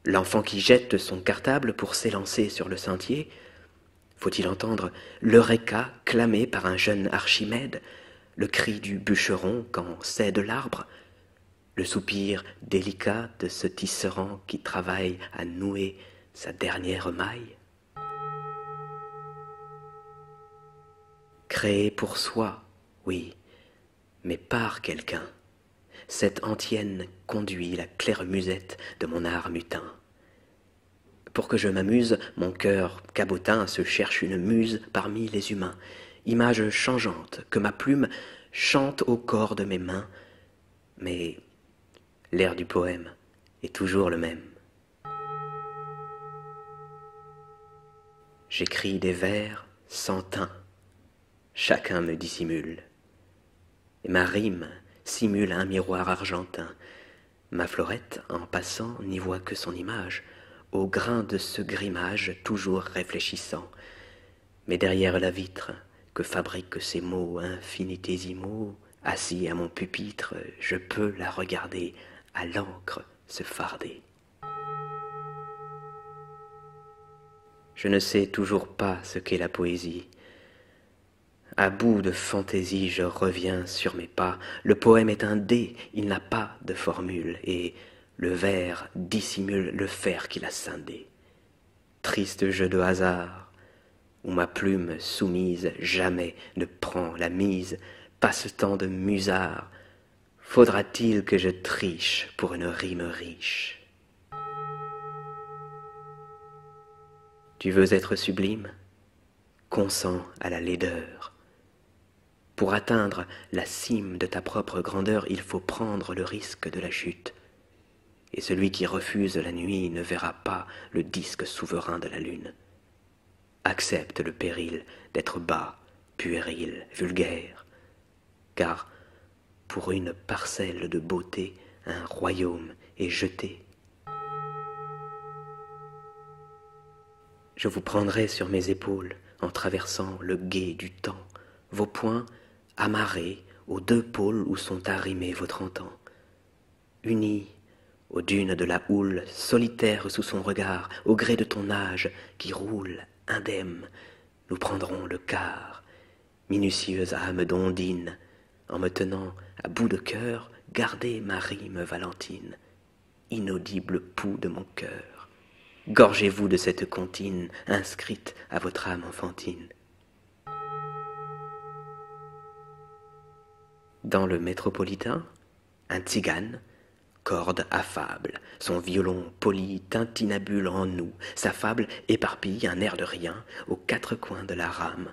L'enfant qui jette son cartable pour s'élancer sur le sentier faut-il entendre l'Eureka clamé par un jeune Archimède, le cri du bûcheron quand cède l'arbre, le soupir délicat de ce tisserand qui travaille à nouer sa dernière maille Créé pour soi, oui, mais par quelqu'un, cette antienne conduit la claire musette de mon art mutin. Pour que je m'amuse, mon cœur cabotin se cherche une muse parmi les humains, image changeante que ma plume chante au corps de mes mains, mais l'air du poème est toujours le même. J'écris des vers sans teint, chacun me dissimule. Ma rime simule un miroir argentin. Ma florette, en passant, n'y voit que son image, au grain de ce grimage toujours réfléchissant. Mais derrière la vitre, que fabriquent ces mots infinitésimaux, assis à mon pupitre, je peux la regarder, à l'encre se farder. Je ne sais toujours pas ce qu'est la poésie. À bout de fantaisie, je reviens sur mes pas. Le poème est un dé, il n'a pas de formule, et le verre dissimule le fer qu'il a scindé. Triste jeu de hasard, où ma plume soumise jamais ne prend la mise, passe-temps de musard, faudra-t-il que je triche pour une rime riche tu veux être sublime Consens à la laideur. Pour atteindre la cime de ta propre grandeur, il faut prendre le risque de la chute. Et celui qui refuse la nuit ne verra pas le disque souverain de la lune. Accepte le péril d'être bas, puéril, vulgaire, car pour une parcelle de beauté, un royaume est jeté. Je vous prendrai sur mes épaules en traversant le gué du temps, vos poings amarrés aux deux pôles où sont arrimés vos trente ans, unis aux dunes de la houle, solitaire sous son regard, au gré de ton âge qui roule indemne, nous prendrons le quart minutieuse âme d'ondine, en me tenant à bout de cœur, gardez ma rime valentine, inaudible pouls de mon cœur. Gorgez-vous de cette comptine inscrite à votre âme enfantine. Dans le métropolitain, un tzigane, corde affable, son violon poli tintinabule en nous, sa fable éparpille un air de rien aux quatre coins de la rame,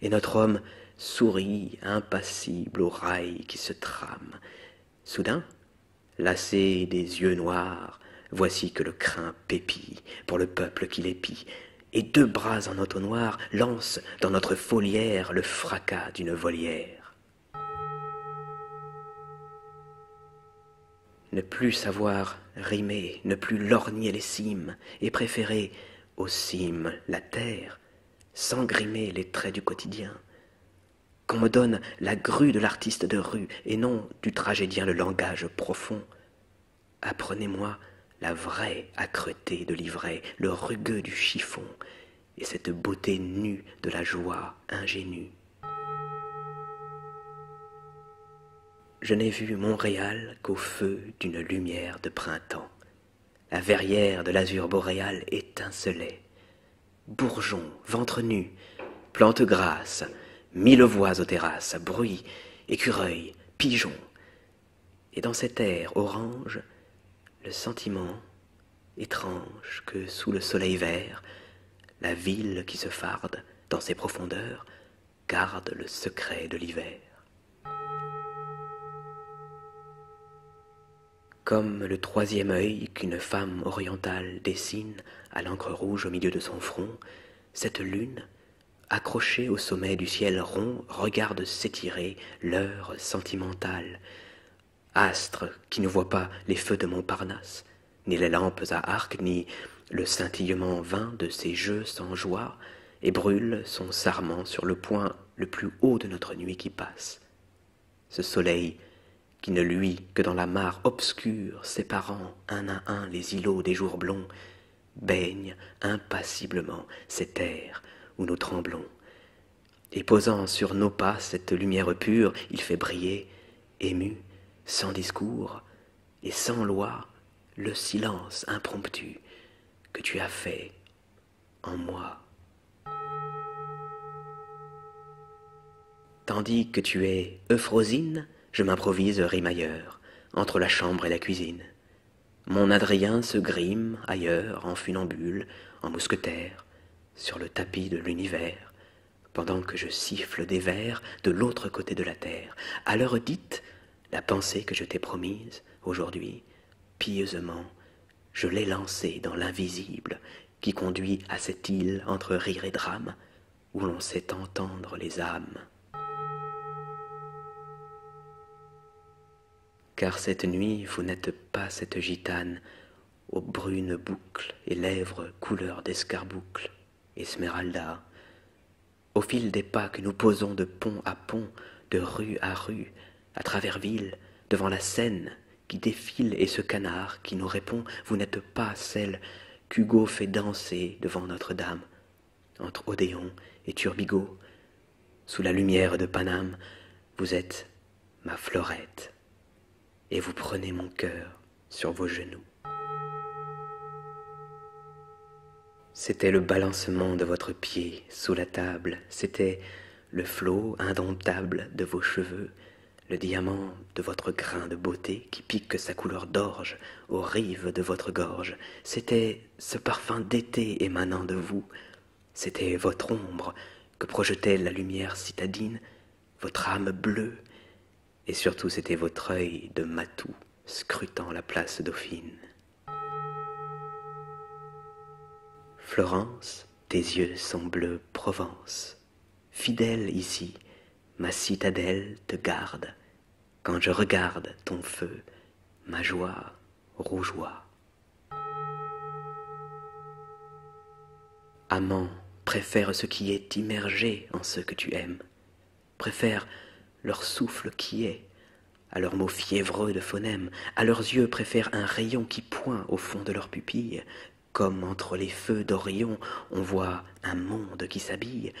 et notre homme sourit impassible au rail qui se trame. Soudain, lassé des yeux noirs, voici que le crin pépit pour le peuple qui l'épie, et deux bras en entonnoir lancent dans notre folière le fracas d'une volière. Ne plus savoir rimer, ne plus lorgner les cimes, et préférer aux cimes la terre, sans grimer les traits du quotidien. Qu'on me donne la grue de l'artiste de rue, et non du tragédien le langage profond. Apprenez-moi la vraie accreté de l'ivraie, le rugueux du chiffon, et cette beauté nue de la joie ingénue je n'ai vu Montréal qu'au feu d'une lumière de printemps. La verrière de l'azur boréal étincelait. Bourgeons, ventres nus, plantes grasses, mille voix aux terrasses, bruit, écureuils, pigeons. Et dans cet air orange, le sentiment étrange que sous le soleil vert, la ville qui se farde dans ses profondeurs garde le secret de l'hiver. Comme le troisième œil qu'une femme orientale dessine à l'encre rouge au milieu de son front, cette lune, accrochée au sommet du ciel rond, regarde s'étirer l'heure sentimentale. Astre qui ne voit pas les feux de Montparnasse, ni les lampes à arc, ni le scintillement vain de ses jeux sans joie, et brûle son sarment sur le point le plus haut de notre nuit qui passe. Ce soleil qui ne luit que dans la mare obscure séparant un à un les îlots des jours blonds, baigne impassiblement ces terres où nous tremblons. Et posant sur nos pas cette lumière pure, il fait briller, ému, sans discours, et sans loi le silence impromptu que tu as fait en moi. Tandis que tu es Euphrosine, je m'improvise rimailleur, entre la chambre et la cuisine. Mon Adrien se grime ailleurs, en funambule, en mousquetaire, sur le tapis de l'univers, pendant que je siffle des vers de l'autre côté de la terre. À l'heure dite, la pensée que je t'ai promise, aujourd'hui, pieusement, je l'ai lancée dans l'invisible qui conduit à cette île entre rire et drame, où l'on sait entendre les âmes. Car cette nuit, vous n'êtes pas cette gitane aux brunes boucles et lèvres couleur d'escarboucle, Esmeralda, au fil des pas que nous posons de pont à pont, de rue à rue, à travers ville, devant la Seine qui défile et ce canard qui nous répond Vous n'êtes pas celle qu'Hugo fait danser devant Notre-Dame, entre Odéon et Turbigo, sous la lumière de Paname, vous êtes ma florette, et vous prenez mon cœur sur vos genoux. C'était le balancement de votre pied sous la table, c'était le flot indomptable de vos cheveux, le diamant de votre grain de beauté qui pique sa couleur d'orge aux rives de votre gorge, c'était ce parfum d'été émanant de vous, c'était votre ombre que projetait la lumière citadine, votre âme bleue, et surtout c'était votre œil de matou scrutant la place dauphine. Florence, tes yeux sont bleus Provence. Fidèle ici, ma citadelle te garde. Quand je regarde ton feu, ma joie rougeoie. Amant préfère ce qui est immergé en ce que tu aimes préfèrent leur souffle qui est, à leurs mots fiévreux de phonèmes, à leurs yeux préfèrent un rayon qui point au fond de leurs pupilles, comme entre les feux d'Orion on voit un monde qui s'habille,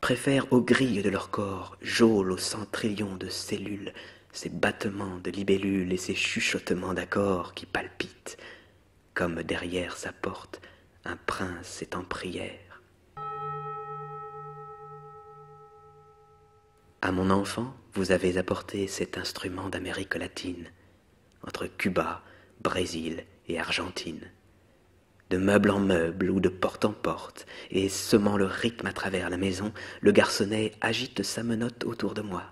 préfèrent aux grilles de leur corps, geôle aux centrillions de cellules, ces battements de libellules et ces chuchotements d'accords qui palpitent, comme derrière sa porte un prince est en prière a mon enfant, vous avez apporté cet instrument d'Amérique latine, entre Cuba, Brésil et Argentine, de meuble en meuble ou de porte en porte, et semant le rythme à travers la maison, le garçonnet agite sa menotte autour de moi.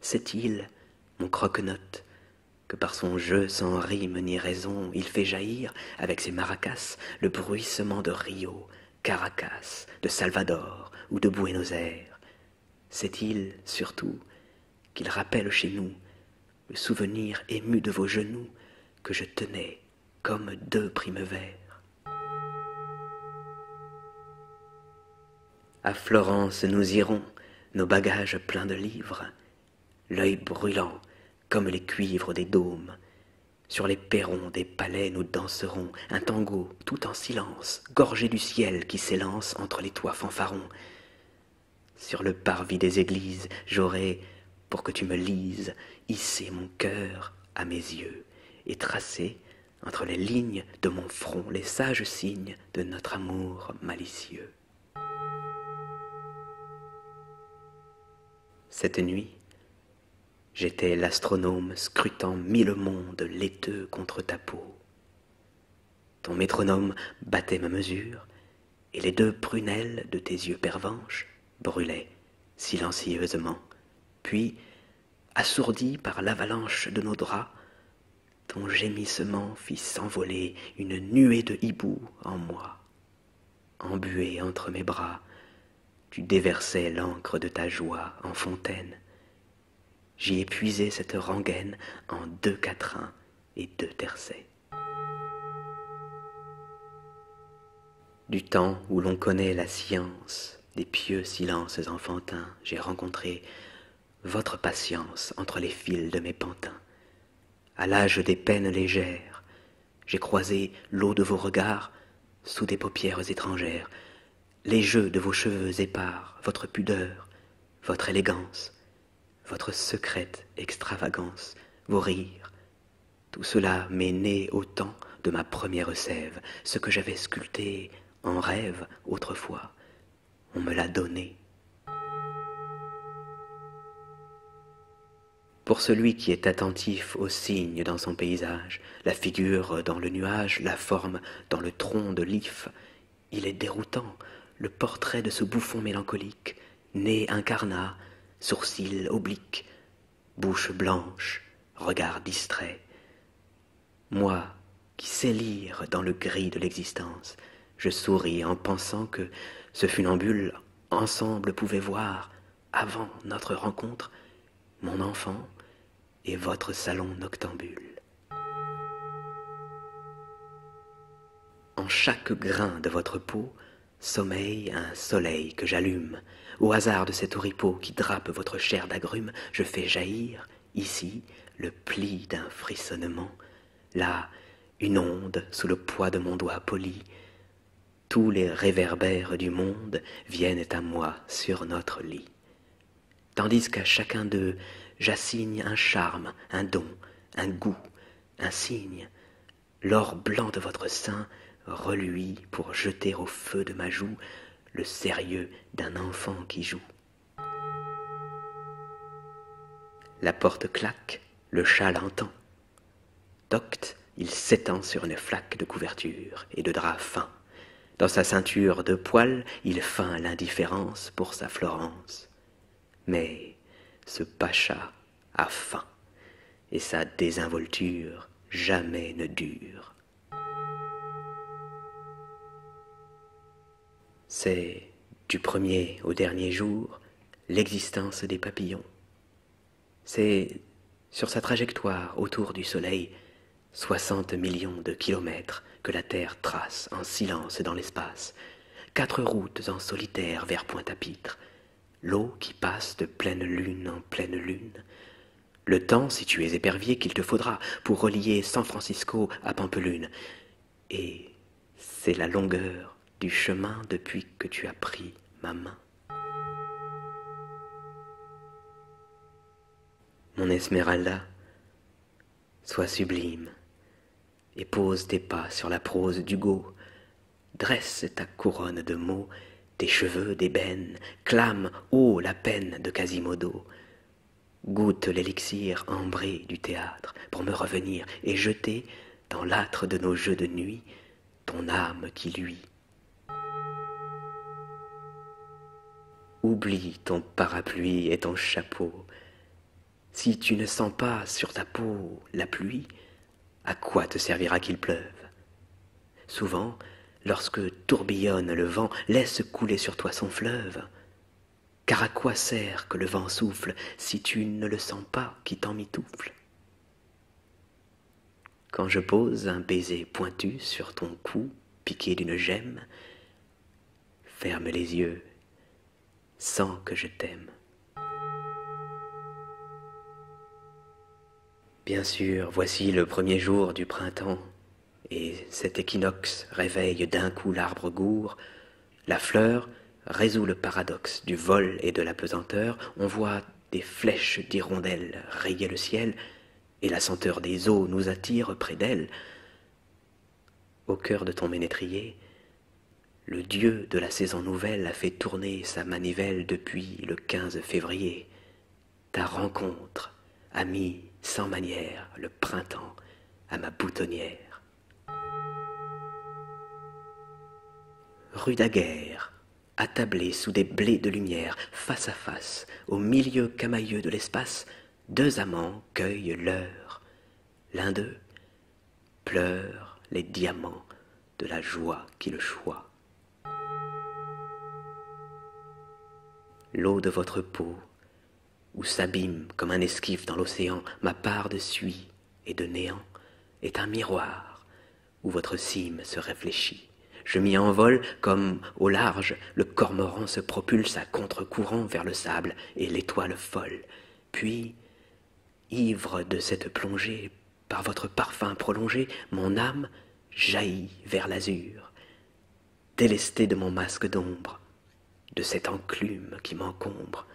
C'est-il, mon croquenote, que par son jeu sans rime ni raison, il fait jaillir, avec ses maracas, le bruissement de Rio, Caracas, de Salvador ou de Buenos Aires. Cette île, surtout, qu'il rappelle chez nous le souvenir ému de vos genoux que je tenais comme deux primes verts. À Florence nous irons, nos bagages pleins de livres, l'œil brûlant comme les cuivres des dômes, sur les perrons des palais, nous danserons un tango tout en silence, gorgé du ciel qui s'élance entre les toits fanfarons. Sur le parvis des églises, j'aurai, pour que tu me lises, hissé mon cœur à mes yeux et tracé entre les lignes de mon front les sages signes de notre amour malicieux. Cette nuit, J'étais l'astronome scrutant mille mondes laiteux contre ta peau. Ton métronome battait ma mesure, et les deux prunelles de tes yeux pervenches brûlaient silencieusement. Puis, assourdi par l'avalanche de nos draps, ton gémissement fit s'envoler une nuée de hiboux en moi. Embuée entre mes bras, tu déversais l'encre de ta joie en fontaine. J'y épuisé cette rengaine en deux quatrains et deux tercets. Du temps où l'on connaît la science des pieux silences enfantins, j'ai rencontré votre patience entre les fils de mes pantins. À l'âge des peines légères, j'ai croisé l'eau de vos regards sous des paupières étrangères, les jeux de vos cheveux épars, votre pudeur, votre élégance, votre secrète extravagance, vos rires. Tout cela m'est né au temps de ma première sève, ce que j'avais sculpté en rêve autrefois. On me l'a donné. Pour celui qui est attentif aux signes dans son paysage, la figure dans le nuage, la forme dans le tronc de l'if, il est déroutant, le portrait de ce bouffon mélancolique, nez incarnat, sourcils obliques, bouche blanche, regard distrait. Moi, qui sais lire dans le gris de l'existence, je souris en pensant que ce funambule ensemble pouvait voir avant notre rencontre, mon enfant et votre salon noctambule. En chaque grain de votre peau sommeille un soleil que j'allume. Au hasard de cet oripeau qui drape votre chair d'agrumes, je fais jaillir, ici, le pli d'un frissonnement, là, une onde sous le poids de mon doigt poli tous les réverbères du monde viennent à moi sur notre lit, tandis qu'à chacun d'eux j'assigne un charme, un don, un goût, un signe. L'or blanc de votre sein reluit pour jeter au feu de ma joue le sérieux d'un enfant qui joue. La porte claque, le chat l'entend. Docte, il s'étend sur une flaque de couverture et de drap fin. Dans sa ceinture de poils, il feint l'indifférence pour sa Florence. Mais ce pacha a faim, et sa désinvolture jamais ne dure. C'est, du premier au dernier jour, l'existence des papillons, c'est sur sa trajectoire autour du Soleil soixante millions de kilomètres que la Terre trace en silence dans l'espace, quatre routes en solitaire vers Pointe-à-Pitre, l'eau qui passe de pleine lune en pleine lune, le temps, si tu es épervier, qu'il te faudra pour relier San Francisco à Pampelune, et c'est la longueur du chemin depuis que tu as pris ma main. Mon Esmeralda, sois sublime et pose tes pas sur la prose d'Hugo. Dresse ta couronne de mots, tes cheveux d'ébène, clame ô la peine de Quasimodo. Goûte l'élixir ambré du théâtre pour me revenir et jeter dans l'âtre de nos jeux de nuit ton âme qui lui Oublie ton parapluie et ton chapeau. Si tu ne sens pas sur ta peau la pluie, à quoi te servira qu'il pleuve Souvent, lorsque tourbillonne le vent, laisse couler sur toi son fleuve. Car à quoi sert que le vent souffle si tu ne le sens pas qui t'en mitoufle quand je pose un baiser pointu sur ton cou piqué d'une gemme, ferme les yeux, sens que je t'aime. Bien sûr, voici le premier jour du printemps, et cet équinoxe réveille d'un coup l'arbre gourd, la fleur résout le paradoxe du vol et de la pesanteur, on voit des flèches d'hirondelles rayaient le ciel, et la senteur des eaux nous attire près d'elle. Au cœur de ton ménétrier, le dieu de la saison nouvelle a fait tourner sa manivelle depuis le 15 février. Ta rencontre a mis sans manière le printemps à ma boutonnière. Rue Daguerre, attablés sous des blés de lumière, face à face, au milieu camailleux de l'espace, deux amants cueillent l'heure. L'un d'eux pleure les diamants de la joie qui le choit. L'eau de votre peau, où s'abîme comme un esquif dans l'océan ma part de suie et de néant, est un miroir où votre cime se réfléchit. Je m'y envole comme, au large, le cormoran se propulse à contre-courant vers le sable et l'étoile folle. Puis, ivre de cette plongée, par votre parfum prolongé, mon âme jaillit vers l'azur, Délesté de mon masque d'ombre, de cette enclume qui m'encombre.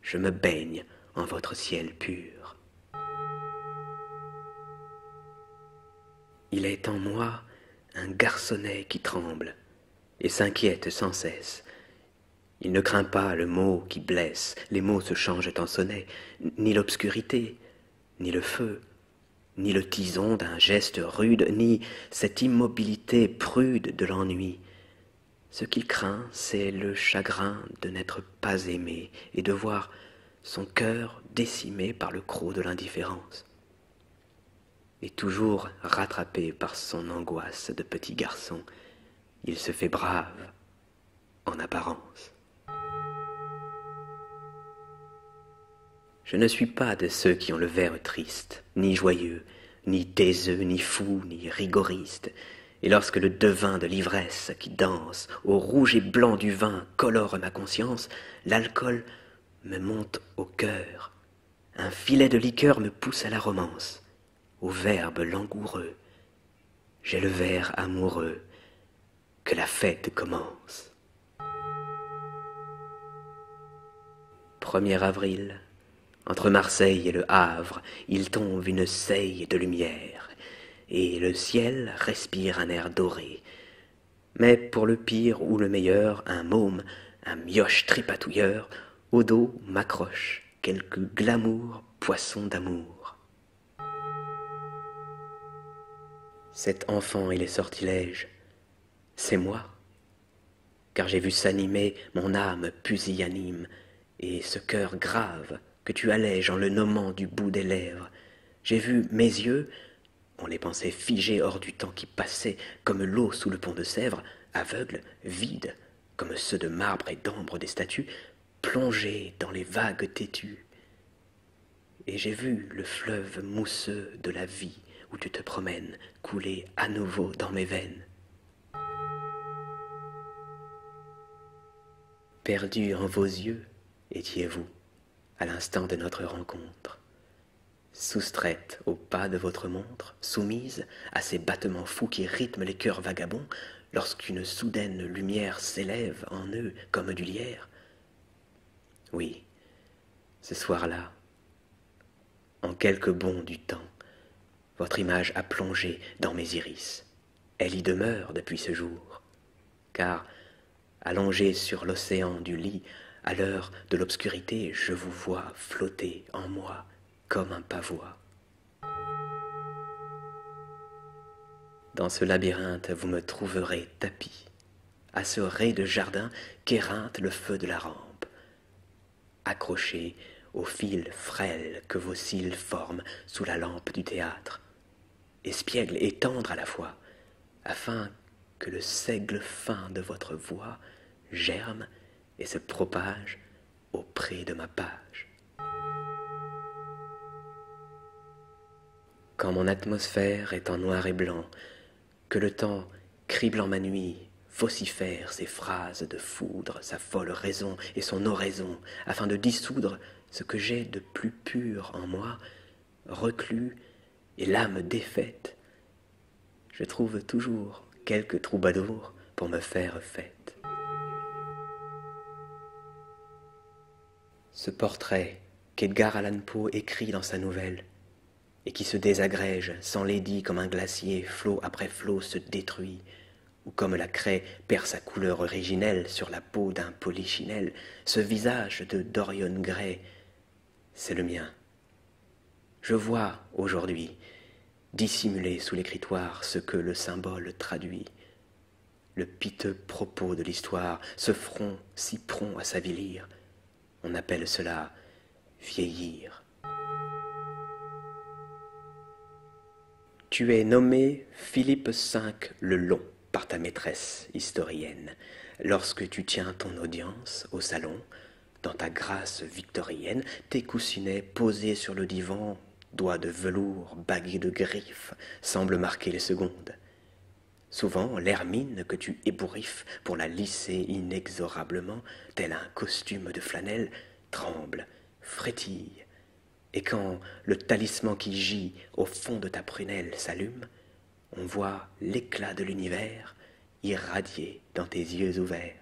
Je me baigne en votre ciel pur. Il est en moi un garçonnet qui tremble et s'inquiète sans cesse. Il ne craint pas le mot qui blesse, les mots se changent en sonnets, ni l'obscurité, ni le feu, ni le tison d'un geste rude, ni cette immobilité prude de l'ennui. Ce qu'il craint, c'est le chagrin de n'être pas aimé et de voir son cœur décimé par le croc de l'indifférence, et toujours rattrapé par son angoisse de petit garçon, il se fait brave en apparence. Je ne suis pas de ceux qui ont le verre triste, ni joyeux, ni taiseux, ni fou, ni rigoriste. Et lorsque le devin de l'ivresse qui danse au rouge et blanc du vin colore ma conscience, l'alcool me monte au cœur. Un filet de liqueur me pousse à la romance, au verbe langoureux. J'ai le verre amoureux, que la fête commence. 1 avril. Entre Marseille et le Havre, il tombe une seille de lumière et le ciel respire un air doré. Mais pour le pire ou le meilleur, un môme, un mioche tripatouilleur, au dos m'accroche quelque glamour poisson d'amour. Cet enfant et les sortilèges, c'est moi, car j'ai vu s'animer mon âme pusillanime et ce cœur grave que tu allèges en le nommant du bout des lèvres. J'ai vu mes yeux, on les pensait figés hors du temps qui passait, comme l'eau sous le pont de Sèvres, aveugles, vides, comme ceux de marbre et d'ambre des statues, plongés dans les vagues têtues. Et j'ai vu le fleuve mousseux de la vie où tu te promènes couler à nouveau dans mes veines. Perdu en vos yeux, étiez-vous à l'instant de notre rencontre, soustraite au pas de votre montre, soumise à ces battements fous qui rythment les cœurs vagabonds, lorsqu'une soudaine lumière s'élève en eux comme du lierre. Oui, ce soir-là, en quelques bonds du temps, votre image a plongé dans mes iris. Elle y demeure depuis ce jour car, allongé sur l'océan du lit, à l'heure de l'obscurité, je vous vois flotter en moi comme un pavois. Dans ce labyrinthe, vous me trouverez tapis, à ce ray de jardin qu'éreinte le feu de la rampe, accroché au fil frêle que vos cils forment sous la lampe du théâtre, espiègle et tendre à la fois, afin que le seigle fin de votre voix germe et se propage auprès de ma page. Quand mon atmosphère est en noir et blanc, que le temps crible en ma nuit, vocifère ses phrases de foudre, sa folle raison et son oraison, afin de dissoudre ce que j'ai de plus pur en moi reclus et l'âme défaite, je trouve toujours quelque troubadour pour me faire fête. Ce portrait qu'Edgar Allan Poe écrit dans sa nouvelle, et qui se désagrège, sans s'enlaidit comme un glacier, flot après flot se détruit, ou comme la craie perd sa couleur originelle sur la peau d'un polichinelle, ce visage de Dorian Gray, c'est le mien. Je vois aujourd'hui, dissimulé sous l'écritoire, ce que le symbole traduit. Le piteux propos de l'histoire, ce front si prompt à s'avilir, on appelle cela vieillir. Tu es nommé Philippe V le Long par ta maîtresse historienne, lorsque tu tiens ton audience au salon, dans ta grâce victorienne, tes coussinets posés sur le divan, doigts de velours bagués de griffes, semblent marquer les secondes. Souvent, l'hermine que tu ébouriffes pour la lisser inexorablement, tel un costume de flanelle, tremble, frétille. Et quand le talisman qui gît au fond de ta prunelle s'allume, on voit l'éclat de l'univers irradier dans tes yeux ouverts.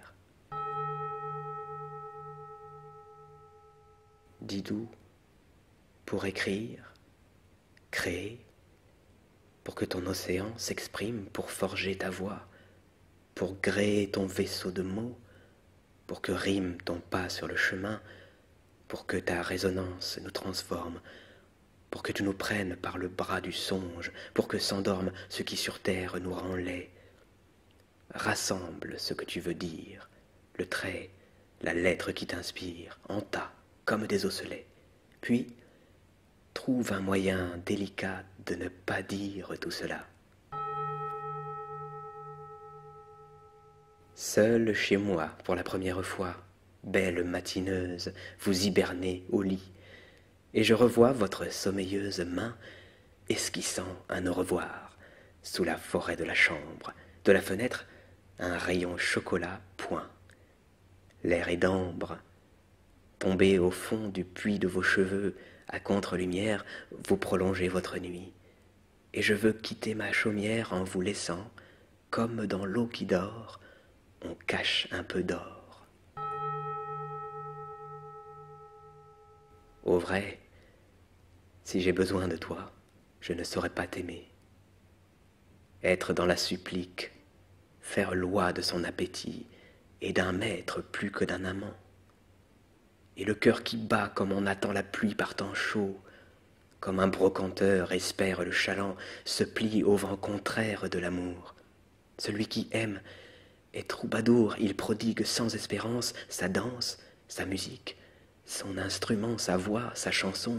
dis doux pour écrire, créer, pour que ton océan s'exprime, pour forger ta voix, pour gréer ton vaisseau de mots, pour que rime ton pas sur le chemin, pour que ta résonance nous transforme, pour que tu nous prennes par le bras du songe, pour que s'endorme ce qui sur terre nous rend laid. Rassemble ce que tu veux dire, le trait, la lettre qui t'inspire, en tas, comme des osselets. Puis, trouve un moyen délicat de ne pas dire tout cela. Seul chez moi, pour la première fois, belle matineuse, vous hibernez au lit, et je revois votre sommeilleuse main esquissant un au revoir sous la forêt de la chambre, de la fenêtre, un rayon chocolat point. L'air est d'ambre. Tombé au fond du puits de vos cheveux, à contre-lumière, vous prolongez votre nuit. Et je veux quitter ma chaumière en vous laissant, comme dans l'eau qui dort, on cache un peu d'or. Au vrai, si j'ai besoin de toi, je ne saurais pas t'aimer. Être dans la supplique, faire loi de son appétit, et d'un maître plus que d'un amant. Et le cœur qui bat comme on attend la pluie par temps chaud, comme un brocanteur espère le chaland, se plie au vent contraire de l'amour. Celui qui aime est troubadour, il prodigue sans espérance sa danse, sa musique, son instrument, sa voix, sa chanson.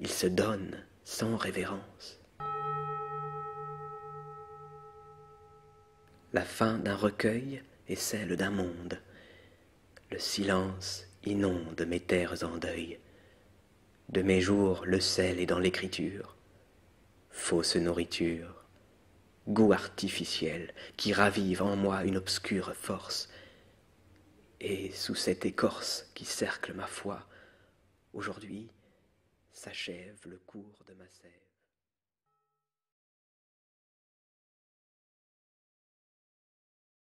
Il se donne sans révérence. La fin d'un recueil est celle d'un monde. Le silence inonde mes terres en deuil. De mes jours, le sel est dans l'écriture. Fausse nourriture, goût artificiel qui ravive en moi une obscure force. Et sous cette écorce qui cercle ma foi, aujourd'hui s'achève le cours de ma sève.